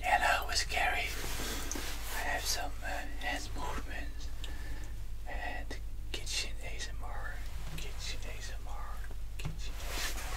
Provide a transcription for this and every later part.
Hello, it's Gary. I have some uh, hand movements and kitchen ASMR, kitchen ASMR, kitchen ASMR.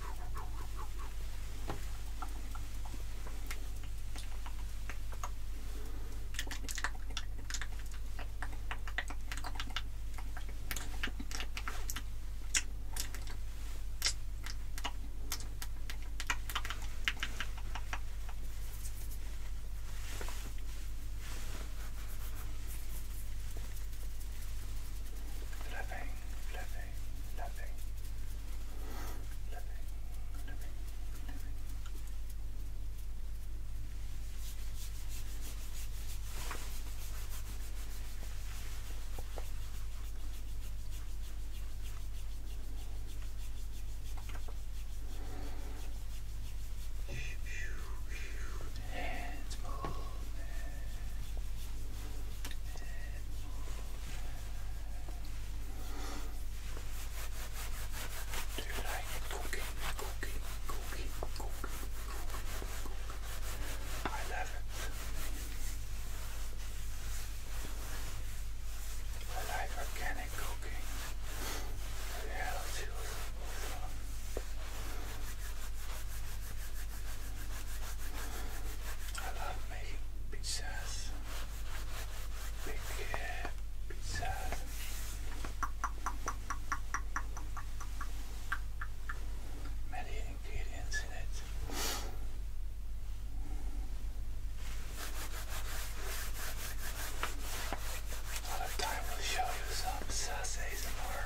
Flipping, flipping, nothing, nothing, nothing, nothing, nothing. Hands movement. Do you like cooking, cooking, cooking, cooking, I love it. I like organic cooking. It helps you. I love making pizzas. Big uh, Many ingredients in it. Another time we'll show you some sauces and more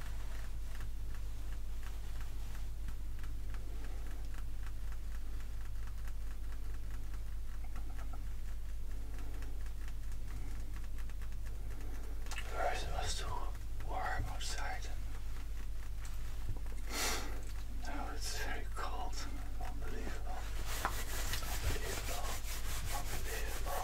First it was warm outside. Now it's very cold. Unbelievable. Unbelievable. Unbelievable.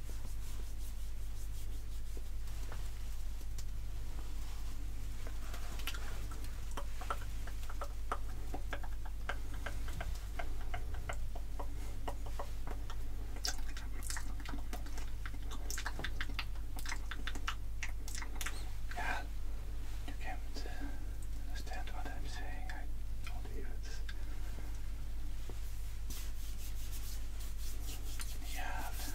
Yeah, you can't understand what I'm saying. I believe it's. We I have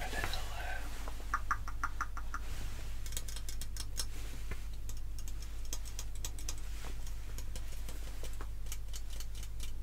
a little uh,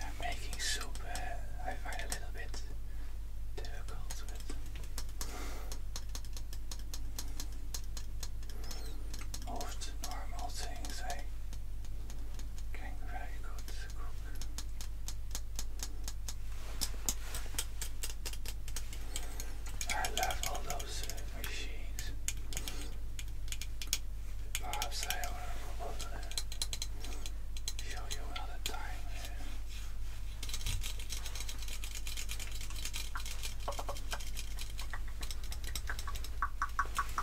I'm making soup, uh, I find a little bit difficult with most normal things eh? I can very good cook. I love all those uh, machines. Perhaps I will uh, show you another time. Eh?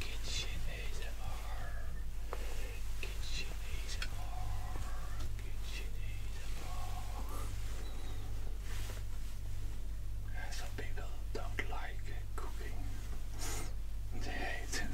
Kitchen ASMR. Kitchen ASMR. Kitchen ASMR. Some people don't like cooking. They hate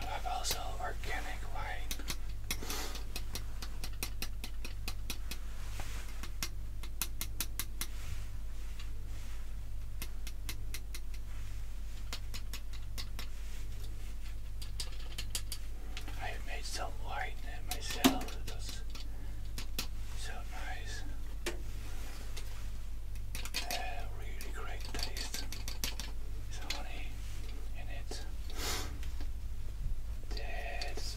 I love also organic wine. I made some light in it myself. It so nice. Uh, really great taste. honey in it. That's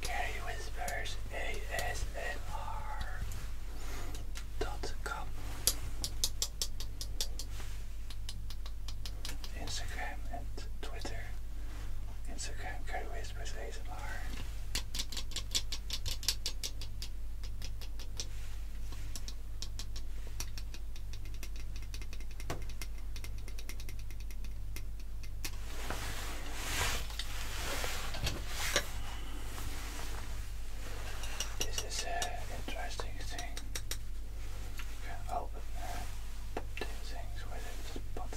Gary Whispers ASMR.com Instagram and Twitter Instagram Cody Whispers ASMR. This is an interesting thing. A help uh, things with it, but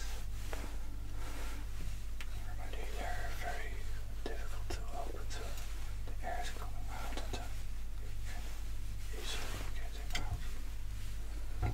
they're very difficult to open the air is coming out and then uh, you out.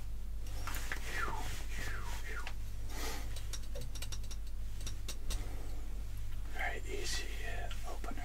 very easy uh, opener.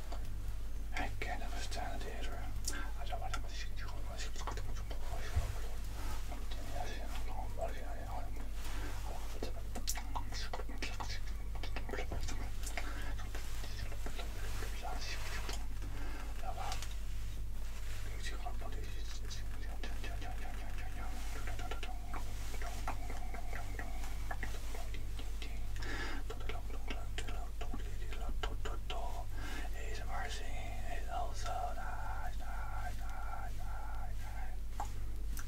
Again, I'm standing here. I don't want to shoot you. I should look at the He's a mercy. He's also nice, nice, nice, nice, nice. All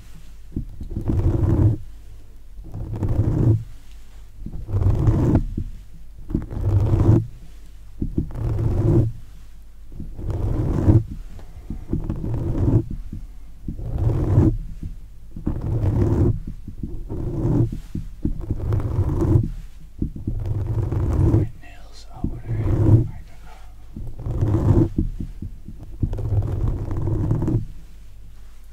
My nails are what I don't know.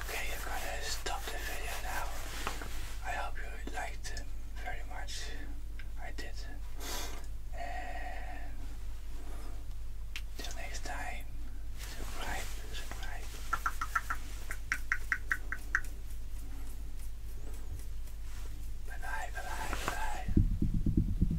Okay, I'm gonna stop the video now. I hope you liked it very much. I did. And till next time, subscribe, Bye bye, bye bye, bye bye.